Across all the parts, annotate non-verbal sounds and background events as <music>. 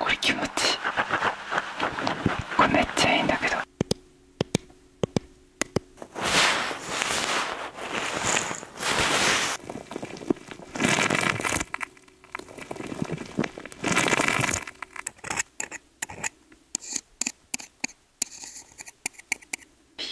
これ気持ちいいこれめっちゃいいんだけどピュ。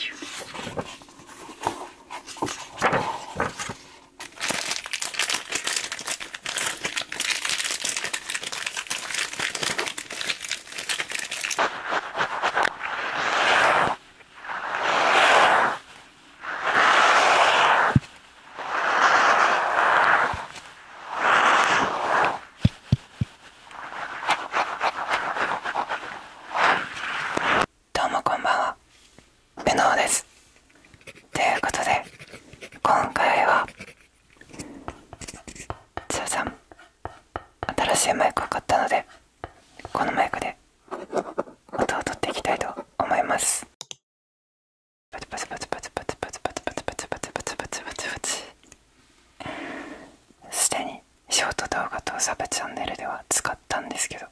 どうもこんばんは無能ですということで今回はじゃじん新しいマイクを買ったのでこのマイクで音を取っていきたいと思いますすでにショート動画とサブチャンネルでは使ったんですけど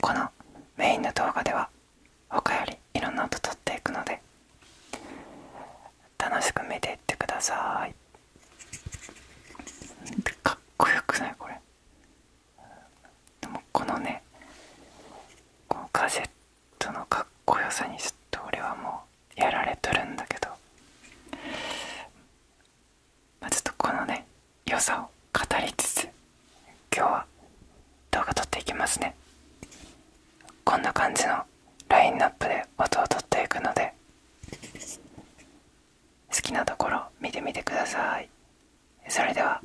このメインの動画では他よりいろんな音とっていくので楽しく見ていってくださいかっこよくないこれでもこのねこのガジェットのかっこよさにちょっと俺はもうやられとるんだけどまあちょっとこのね良さを語りつつ今日は動画撮っていきますねこんな感じのラインナップで音を取っていくので好きなところ見てみてくださいそれでは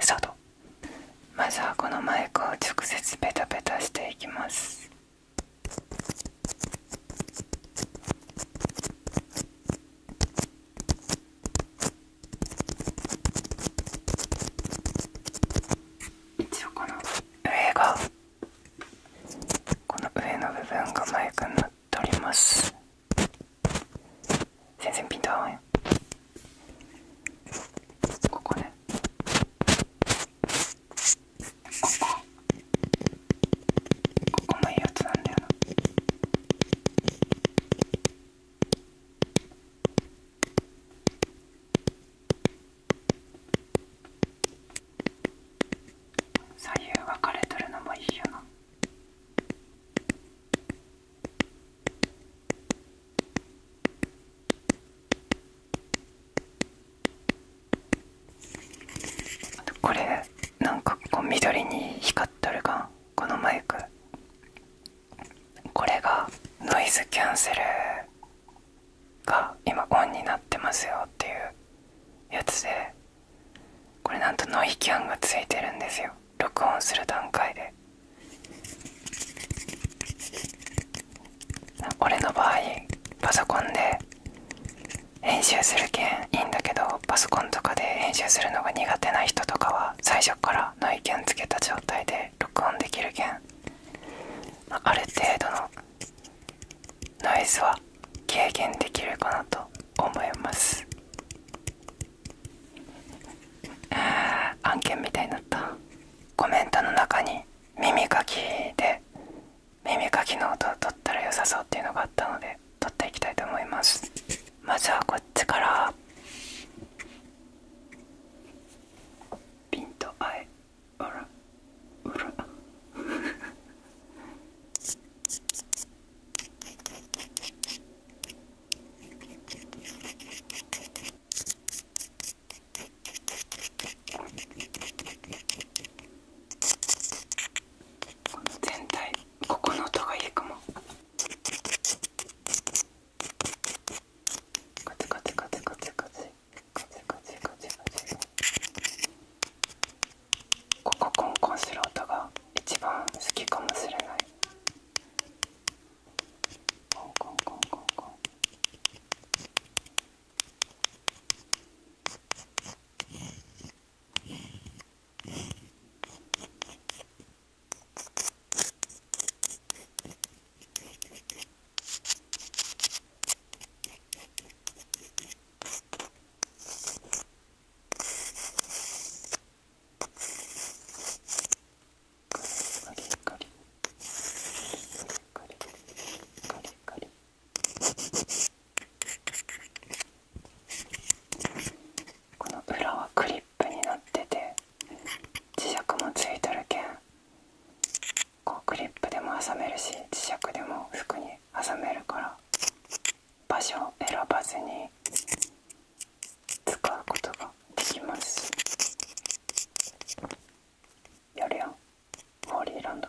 スタまずはこのマイクを直接ペタペタしていきます一応この上がこの上の部分がマイクになっております全然ピンと合わんよここねここここもいいやつなんだよな左右分かれとるのもいいよな。あとこれなんかこう緑に光っとるがこのマイクこれがノイズキャンセルが今オンになってますよっていうやつでこれなんとノイキャンがついてるんですよ録音する段階で俺の場合パソコンで編集するけんいいんだけどパソコンとかで編集するのが苦手な人とかは最初から内見つけた状態で録音できる件、まあ、ある程度のノイズは軽減できるかなと思います案件みたいになったコメントの中に耳かきで耳かきの音を取ったら良さそうっていうのがあったので取っていきたいと思いますまずはこっちからピンとあえあらうらこの全体ここの音がいいかもカチカチカチカチカチカチカチカチカチここコンコンする音が一番好きかもしれないコンコンコンコンコンこの裏はクリップ。ップになってて磁石もついとるけんこうクリップでも挟めるし磁石でも服に挟めるから場所を選ばずに使うことができますやるよホーリーランド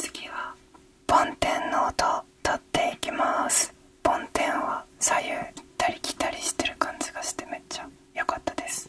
次は梵天の音を取っていきます梵天は左右行ったり来たりしてる感じがしてめっちゃよかったです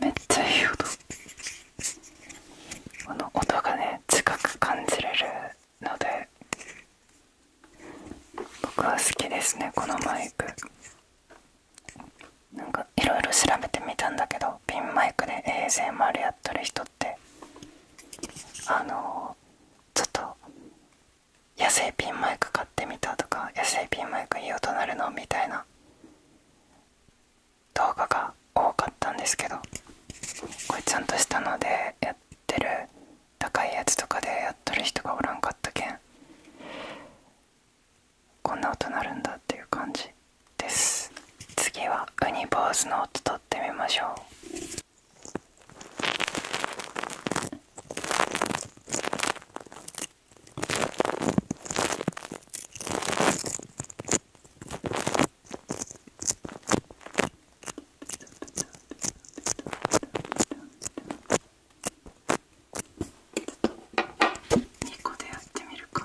めっちゃいい音この音がね近く感じれるので僕は好きですねこのマイクなんかいろいろ調べてみたんだけどピンマイクで ASMR やってる人ってあのちょっと野生ピンマイク買ってみたとか野生ピンマイクいい音鳴るのみたいな動画が多かったんですけどこれちゃんとしたのでやってる高いやつとかでやっとる人がおらんかったけんこんな音鳴るんだっていう感じです次はウニ坊主の音取ってみましょう2個でやってみるか。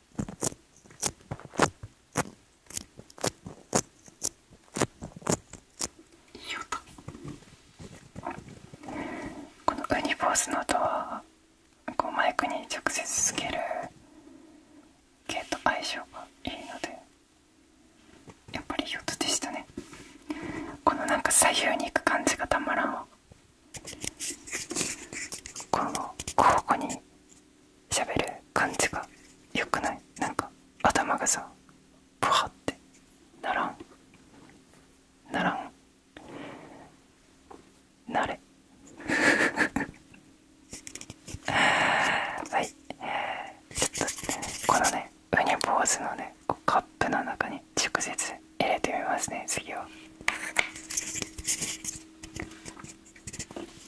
いい音このウニ坊主の音はこうマイクに直接つける系と相性がいいのでやっぱりいい音でしたねこのなんか左右に行く感じがたまらんわこう交互に喋る感じが良くないなんか頭がさブハってならんならんなれ <laughs> はいちょっとこのねウニ坊主のねカップの中に直接入れてみますね次は。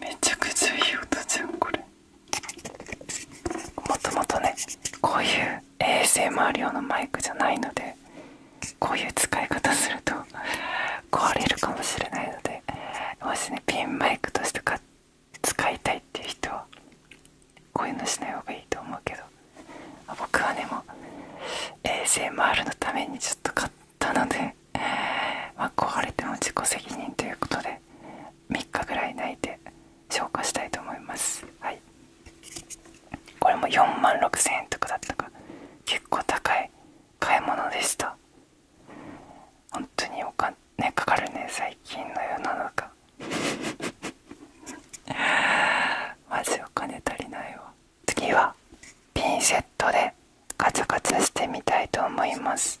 めちゃくちゃいい音じゃんこれもともとねこういう衛星 m り用のマイクじゃないのでこういう使い方すると壊れるかもしれないのでもしねピンマイクとして使いたいっていう人はこういうのしない方がいいと思うけど僕はねもう ASMR のためにちょっと買ったっので、えーまあ、壊れても自己責任ということで3日ぐらい泣いて消化したいと思いますはいこれも4万6000円とかだったか結構高い買い物でした本当にお金かかるね最近の世の中 <laughs> マジお金足りないわ次はピンセットでカツカツしてみたいと思います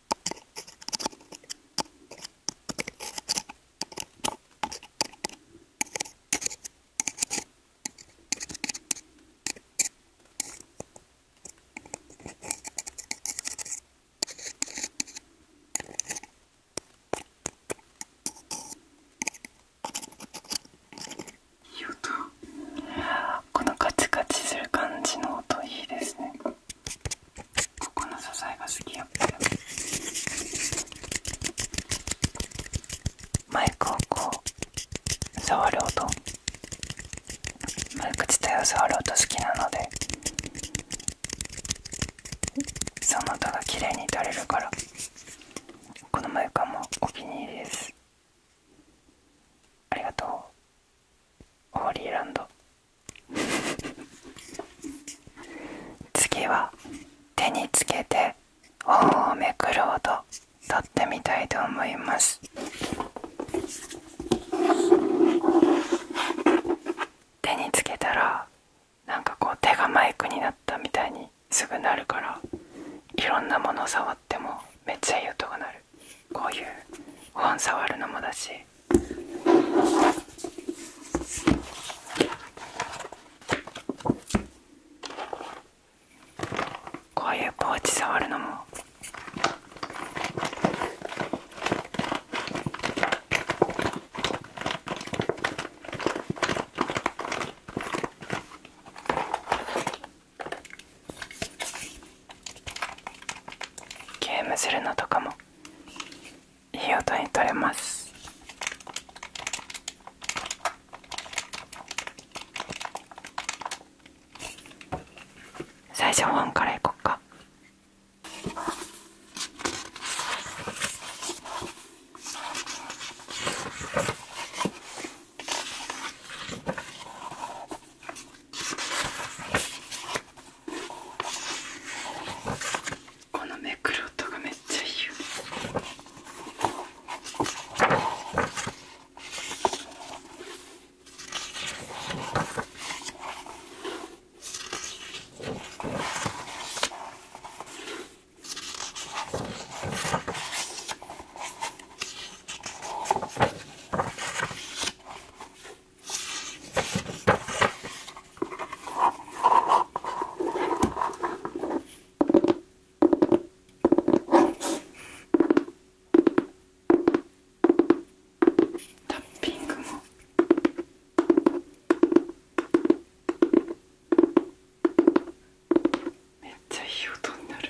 このカチカチする感じの音いいですねここの素材が好きやったよマイクをこう触る音マイク自体を触る音好きなのでその音が綺麗に撮れるからこのマイクはもうお気に入りですありがとうホーリーランド <laughs> 次は手につけて本をめくる音取ってみたいと思います手につけたらなんかこう手がマイクになったみたいにすぐなるからいろんなもの触ってもめっちゃいい音が鳴るこういう本触るのもだしこういうポーチ触るのもゲームするのとかも費用とに取れます最初はンからいこっかこのめくる音がめっちゃいいよタッピングもめっちゃいい音になる。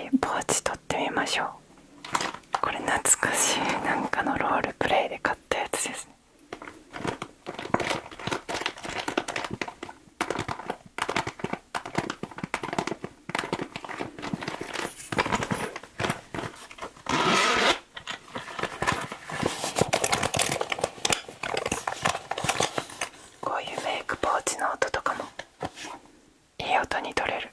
次ポーチ取ってみましょうこれ懐かしいなんかのロールプレイで買ったやつですね。こういうメイクポーチの音とかもいい音に取れる。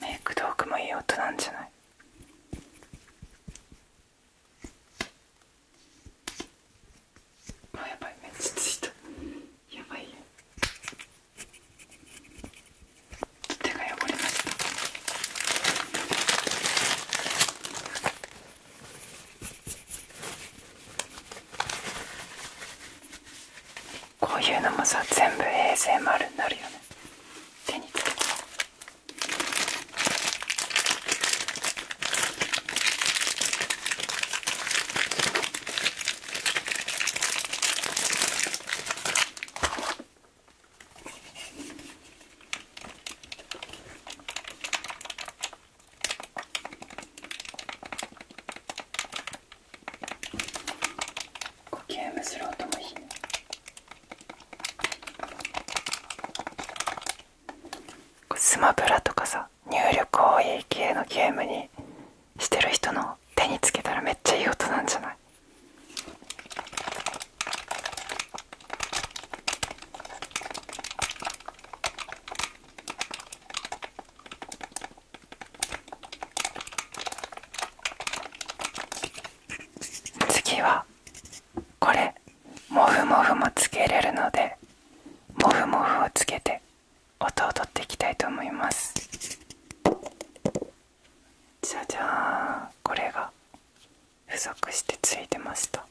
メイク道具もいい音なんじゃないあやばいめっちゃついたやばいよ手が汚れましたこういうのもさ全部衛 s 丸になるよね手につけてゲームする音もいいね。スマブラとかさ入力多い系のゲームにしてる人の手につけたらめっちゃいい音なんじゃない次はこれモフモフもつけれるのでモフモフをつけてで音を取っていきたいと思いますじゃじゃーんこれが付属してついてました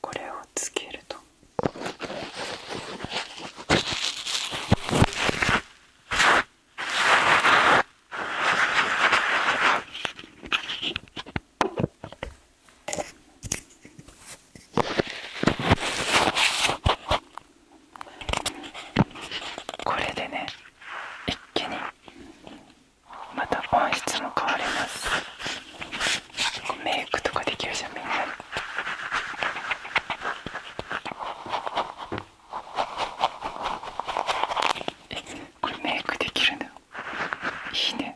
これをつけるとこれでね一気にまた音質も変わりますメイクとかできるじゃんみんなえこれメイクできるのいいね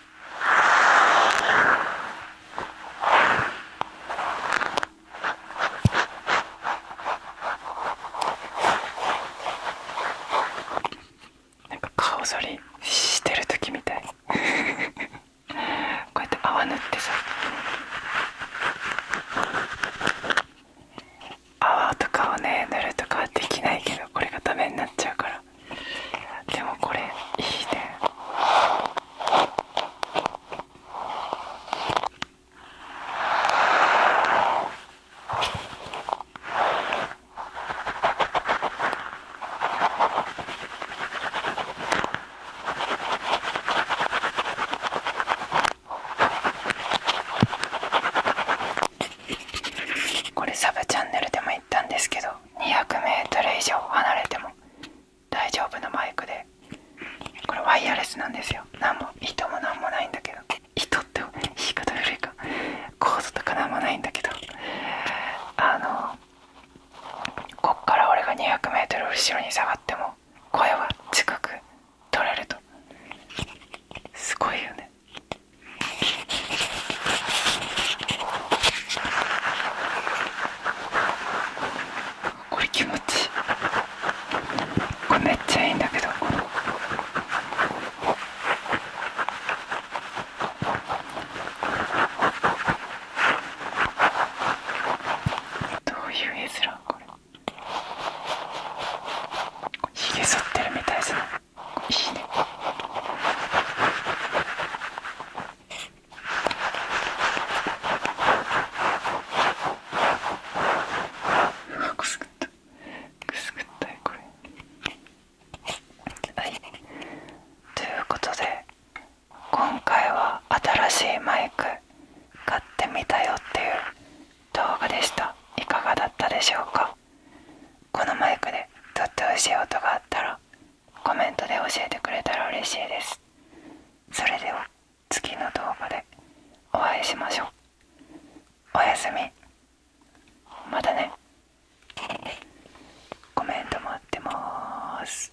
なんか顔剃りしてる時みたい <laughs> こうやって泡塗ってさ泡とかをね塗るとかはできないけどこれがダメになっちゃうからでもこれいいねこれサブチャンネルでも言ったんですけど 200m 以上離れても大丈夫なマイクでこれワイヤレスなんですよ何も糸も何もないんだけど人って言い方古いかコードとか何もないんだけどあのこっから俺が 200m 後ろに下がっても声は近く取れるとすごいよねこれ気持ちこれめっちゃいいんだけどどういう絵面これひげ剃ってるみたいじゃなおしねくすぐったくすぐったい。これはいということで今回は新しいマイク買ってみたよっていう動画でしたいかがだったでしょうかこのマイクでとっておいしい音があったらコメントで教えてくれたら嬉しいですそれでは次の動画でお会いしましょうおやすみまたねコメント待ってます